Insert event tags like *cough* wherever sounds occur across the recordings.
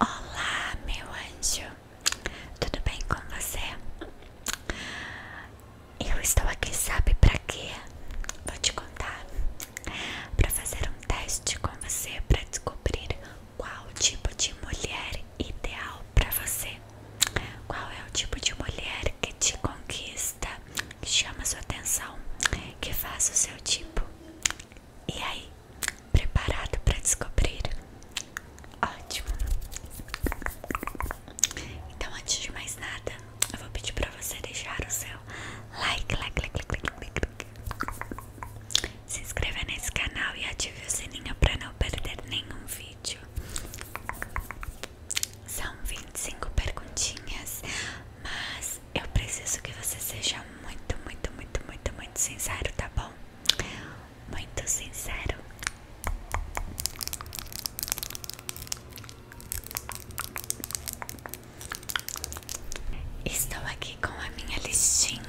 Olá, meu anjo, tudo bem com você? Eu estou aqui, sabe para quê? Vou te contar para fazer um teste com você para descobrir qual tipo de mulher ideal para você. Qual é o tipo de mulher que te conquista, que chama sua atenção, que faz o seu tipo? E aí, preparado para descobrir? Ótimo! Então, antes de mais nada, eu vou pedir para você deixar o seu like, se inscrever nesse canal e ative o sininho para não perder nenhum vídeo vídeo. São 25 perguntinhas, mas eu preciso que você seja muito, muito, muito, muito, muito sincero, tá bom? Muito sincero. Estou aqui com a minha listinha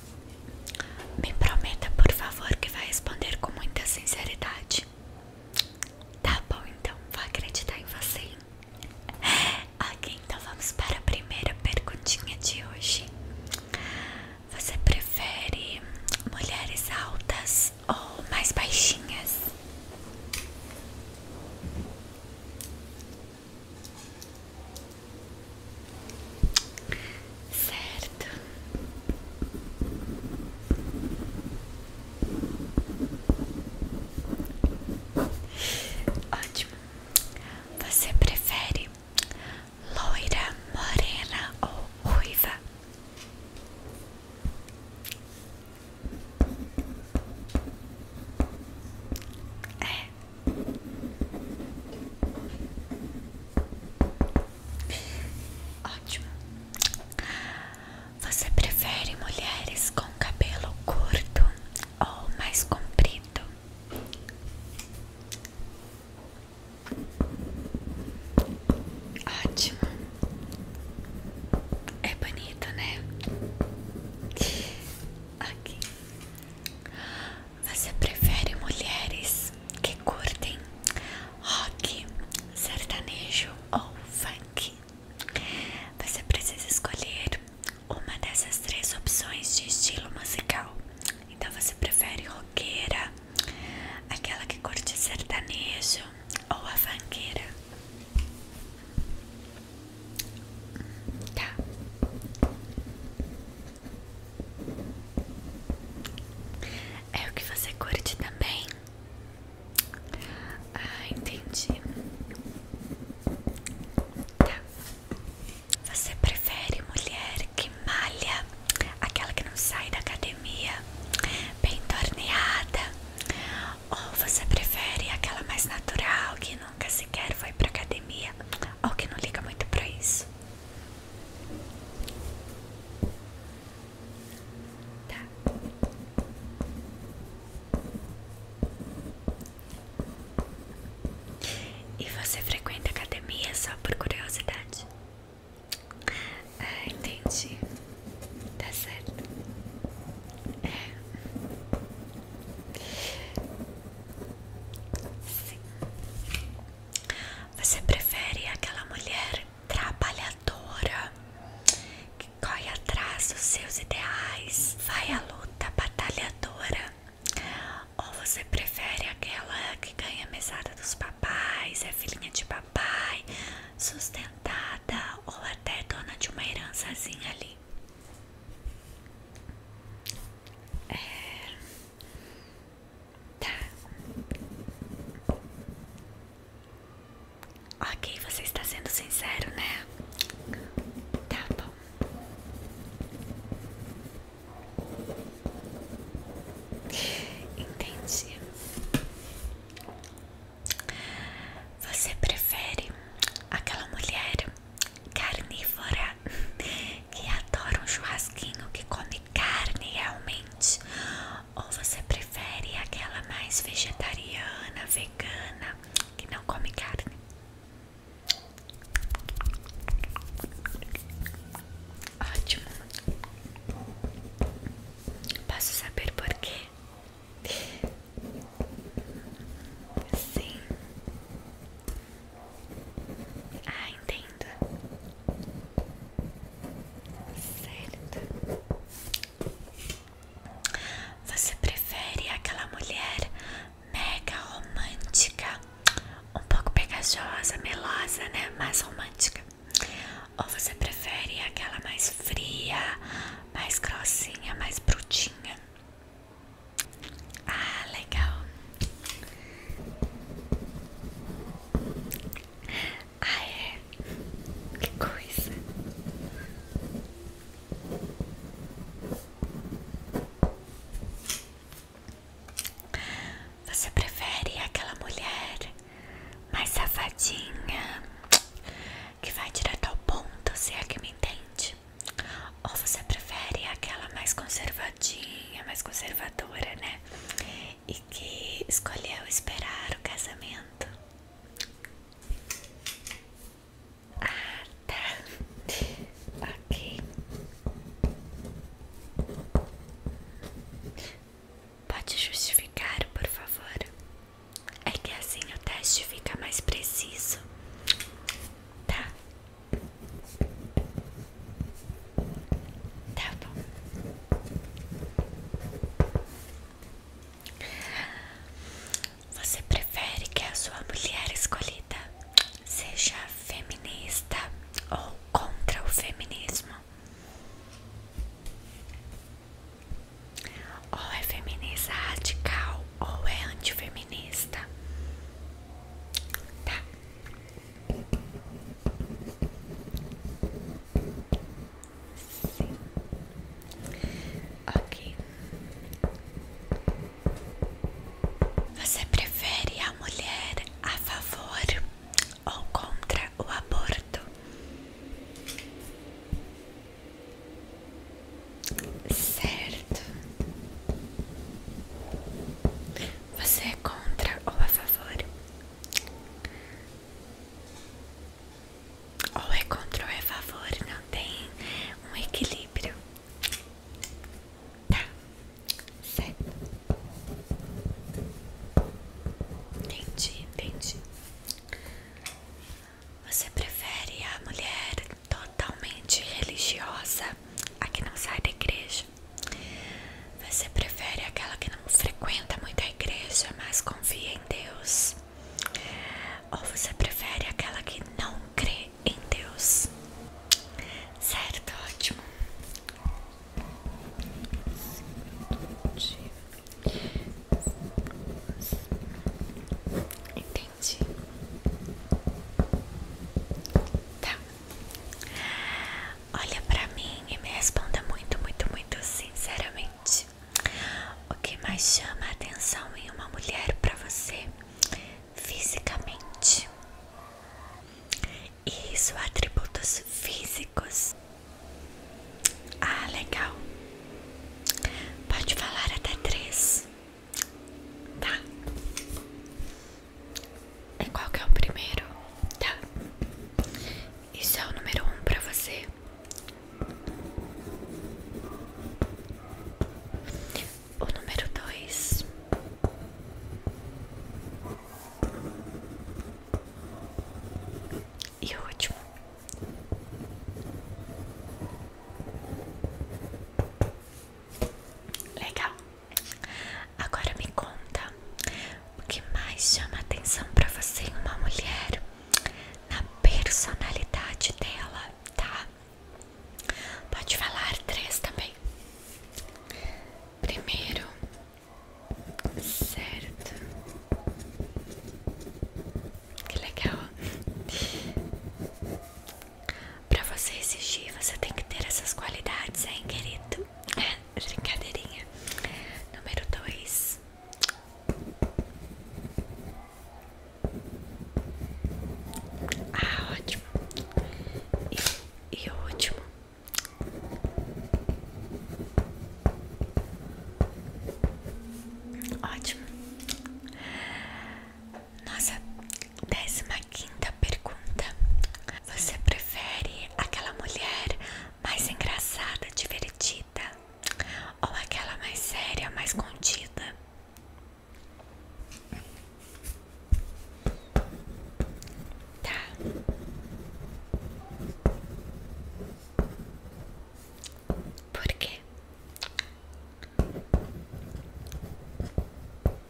Me prometa, por favor, que vai responder com muita sinceridade. Tá bom, então, vou acreditar em você. Hein? Ok, então vamos para a primeira perguntinha de hoje. Você prefere mulheres altas ou mais baixinhas? Certo. Ótimo. Você prefere loira, morena ou ruiva? É. Ótimo. Você prefere mulheres com cabelo curto ou mais comprido? Ótimo. É bonito, né? Aqui. Você prefere mulheres que curtem rock, sertanejo ou funk? Você precisa escolher uma dessas três opções de estilo musical. Então você prefere roqueira, aquela que curte sertanejo ou a funkeira? Tá. É o que você curte também? Ah, entendi. Tá. Você prefere mulher que malha, aquela que não sai da academia, bem torneada? Ou você prefere aquela mais natural, que nunca sequer foi pra academia, ou que não liga muito pra isso? Tá. E você frequenta academia só por curiosidade? Ah, entendi. Tá certo. É. Sim. Você prefere aquela mulher trabalhadora que corre atrás dos seus ideais, vai à luta, batalhadora? Ou você prefere aquela que ganha mesada dos papais, é filhinha de papai, sustentada ou até dona de uma herançazinha ali? É... Tá. Ok, você está sendo sincero, né? Tá bom. Entendi. Você prefere aquela mulher carnívora que adora um churrasquinho que come carne realmente? Ou você prefere aquela mais vegetariana, vegana, que não come carne? Ótimo. Posso saber por quê? Sim. Ah, entendo. Certo. Você prefere aquela mulher mega romântica, um pouco pegajosa, melosa, né? Mais romântica. Ou você prefere aquela mais fria, mais grossinha, mais brutinha? Ah, legal. Ah, é? Que coisa. Você prefere aquela mulher mais safadinha que vai direto ao ponto, você é que me entende? Ou você prefere aquela mais conservadinha, mais conservadora, né? E que escolheu esperar o casamento? Ah, tá. Ok. Pode justificar, por favor. É que assim o teste fica mais preciso. Tá, Tá bom. Você prefere que a sua mulher escolhida seja feminista ou contra o feminismo? Ou é feminista radical ou é antifeminista? Tá. Sim. Ok. Você prefere a mulher a favor ou contra o aborto? Certo. Você é contra ou a favor? Ou é contra ou é a favor, não tem um equilíbrio. Tá, certo. Entendi, entendi. Você prefere a mulher totalmente religiosa, a que não sai da igreja? Você prefere aquela que não frequenta muito a igreja, mas confia em Deus? Ou você prefere aquela que não crê em Deus? Certo, ótimo. Entendi. Tá. Olha pra mim e me responda muito, muito, muito sinceramente. O que mais chama a atenção em uma mulher pra você fisicamente? Isso, atributos físicos. Ah, legal. Pode falar até três. Tá. E qual que é o primeiro? Tá. Isso é o número um pra você. O número dois. E o último. Legal. Agora me conta o que mais chama atenção para você em uma mulher, na personalidade dela, tá? Pode falar três também. Primeiro, certo. Que legal. Pra você exigir, você tem que ter essas qualidades, hein, querido? É, brincadeirinha. Número dois. Ah, ótimo. E, e o último. Ótimo. Nossa décima quinta pergunta. Você prefere aquela mulher mais engraçada, divertida ou aquela mais séria, mais contida? Tá. Por quê?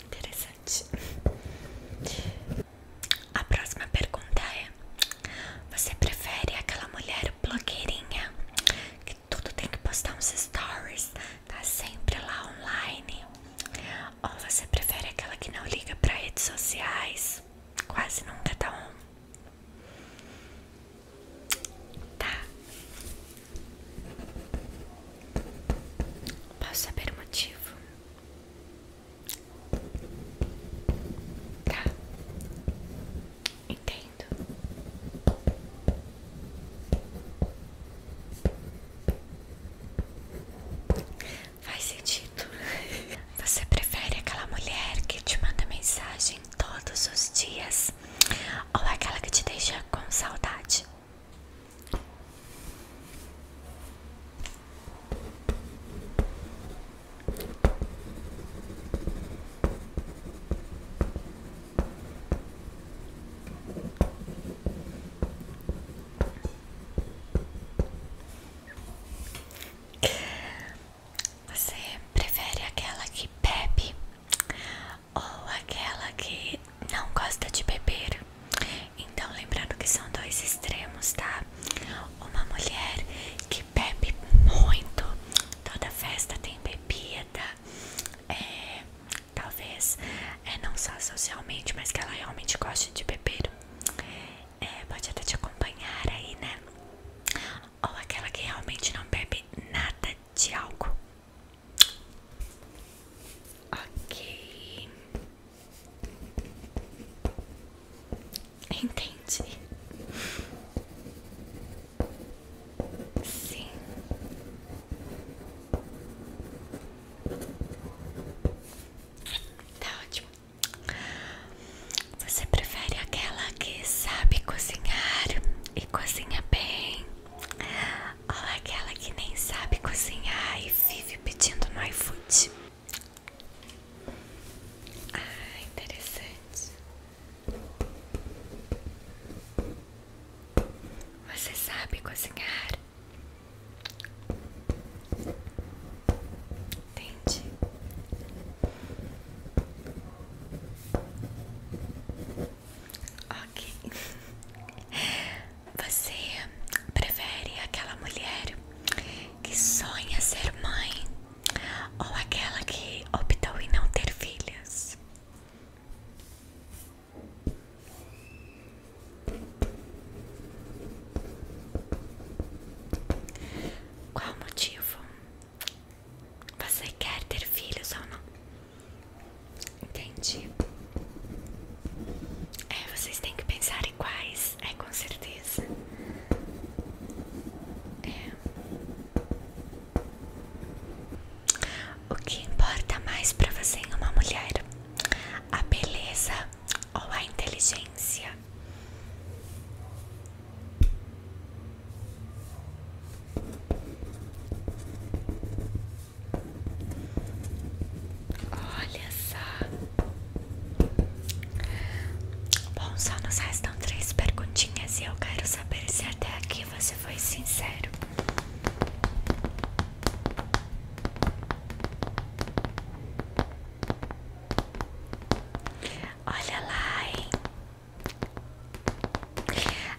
Interessante. A próxima pergunta é: Você prefere aquela mulher blogueirinha que tudo tem que postar uns stories, tá sempre lá online? Ou você prefere aquela que não liga para redes sociais, quase nunca tá on? Tá. Posso saber o motivo? Tá. Entendo. Faz sentido. *laughs* Você prefere aquela mulher que te manda mensagem todos os dias ou aquela que te deixa com saudade? Você prefere aquela que bebe ou aquela que não gosta de beber. Então, lembrando que são dois extremos, tá? Uma mulher que bebe muito, toda festa tem bebida, é, talvez é, não só socialmente, mas que ela realmente gosta de beber. É, pode até te acompanhar aí, né? Ou aquela que realmente não bebe nada de álcool, Ok. Entendi. Sim. Tá ótimo. Você prefere aquela que sabe cozinhar e cozinha bem? Olha aquela que nem sabe cozinhar e vive pedindo no iFood. Ah, interessante. Você sabe cozinhar? Entendi. Ok. Você prefere aquela mulher que sonha ser mãe ou aquela que optou em não ter filhas? Qual o motivo? Você quer ter filhos ou não? Entendi. É, vocês têm que pensar em quais, é com certeza. É. O que importa mais para você em uma mulher? A beleza ou a inteligência? Olha só. Bom, só nos restam três perguntinhas e eu quero saber se até aqui você foi sincero. Olha lá, hein?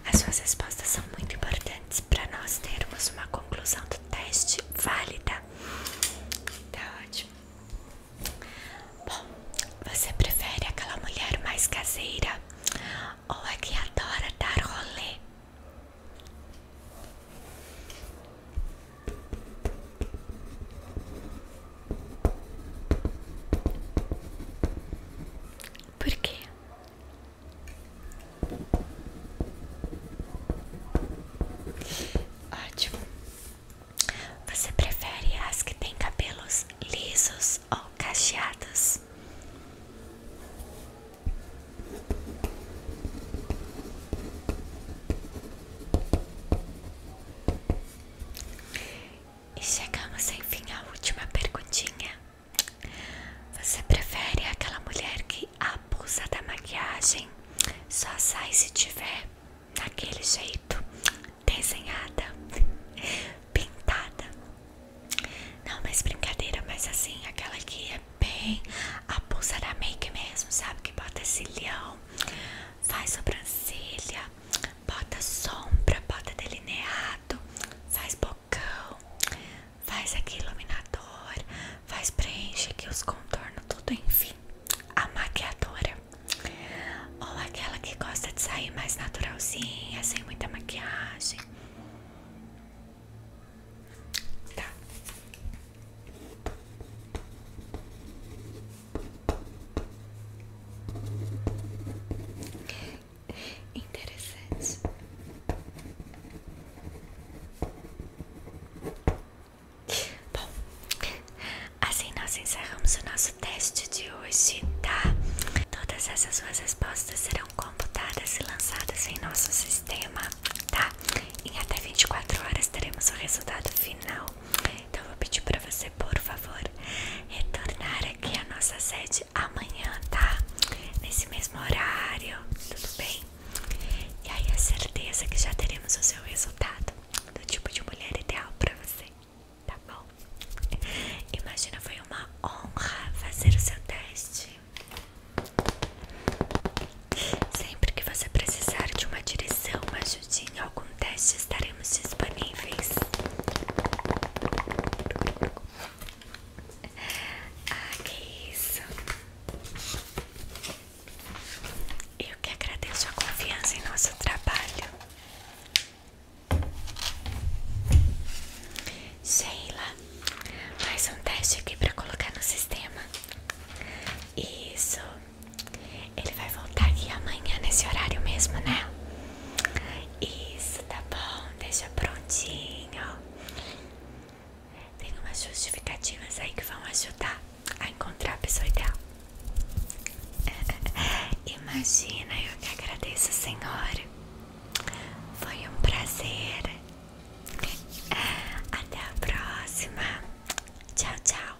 As suas respostas são muito importantes para nós termos uma conclusão do teste válida. Tá ótimo. Bom, você prefere aquela mulher mais caseira ou a que adora dar rolê? Por quê? Ótimo. Você prefere as que têm cabelos lisos ou cacheados? E chegamos enfim à última perguntinha. Você prefere aquela mulher que abusa da maquiagem? Só sai se tiver daquele jeito, desenhada, pintada. Não, mas brincadeira, mas assim, aquela que é bem abusa da make mesmo, sabe? Que bota esse cilhão, faz sobrancelha, bota sombra, bota delineado, faz bocão, faz aqui iluminador, faz preenche aqui os contornos, tudo enfim. A maquiadora, ou aquela que gosta de sair mais naturalzinha, sem muita maquiagem. Tá interessante. Bom, assim nós encerramos o nosso teste de hoje, tá? Todas essas suas respostas serão computadas e lançadas em nosso sistema, tá? Em até 24 horas teremos o resultado final. Então, eu vou pedir para você, por favor, retornar aqui à nossa sede amanhã, tá? Nesse mesmo horário, tudo bem? E aí a é certeza que já teremos o seu resultado do tipo de mulher ideal pra você, tá bom? Imagina, foi uma honra fazer o seu teste. Sempre que você precisar de uma direção, uma ajudinha, algum teste, estarei teremos disponíveis. Ah, que isso! Eu que agradeço a confiança em nosso trabalho. Sheila, mais um teste aqui para colocar no sistema. Isso. Ele vai voltar aqui amanhã nesse horário mesmo, né? Isso, tá bom, deixa prontinho. Tem umas justificativas aí que vão ajudar a encontrar a pessoa ideal. *laughs* Imagina, eu que agradeço, Senhor. Foi um prazer. Até a próxima. Tchau, tchau.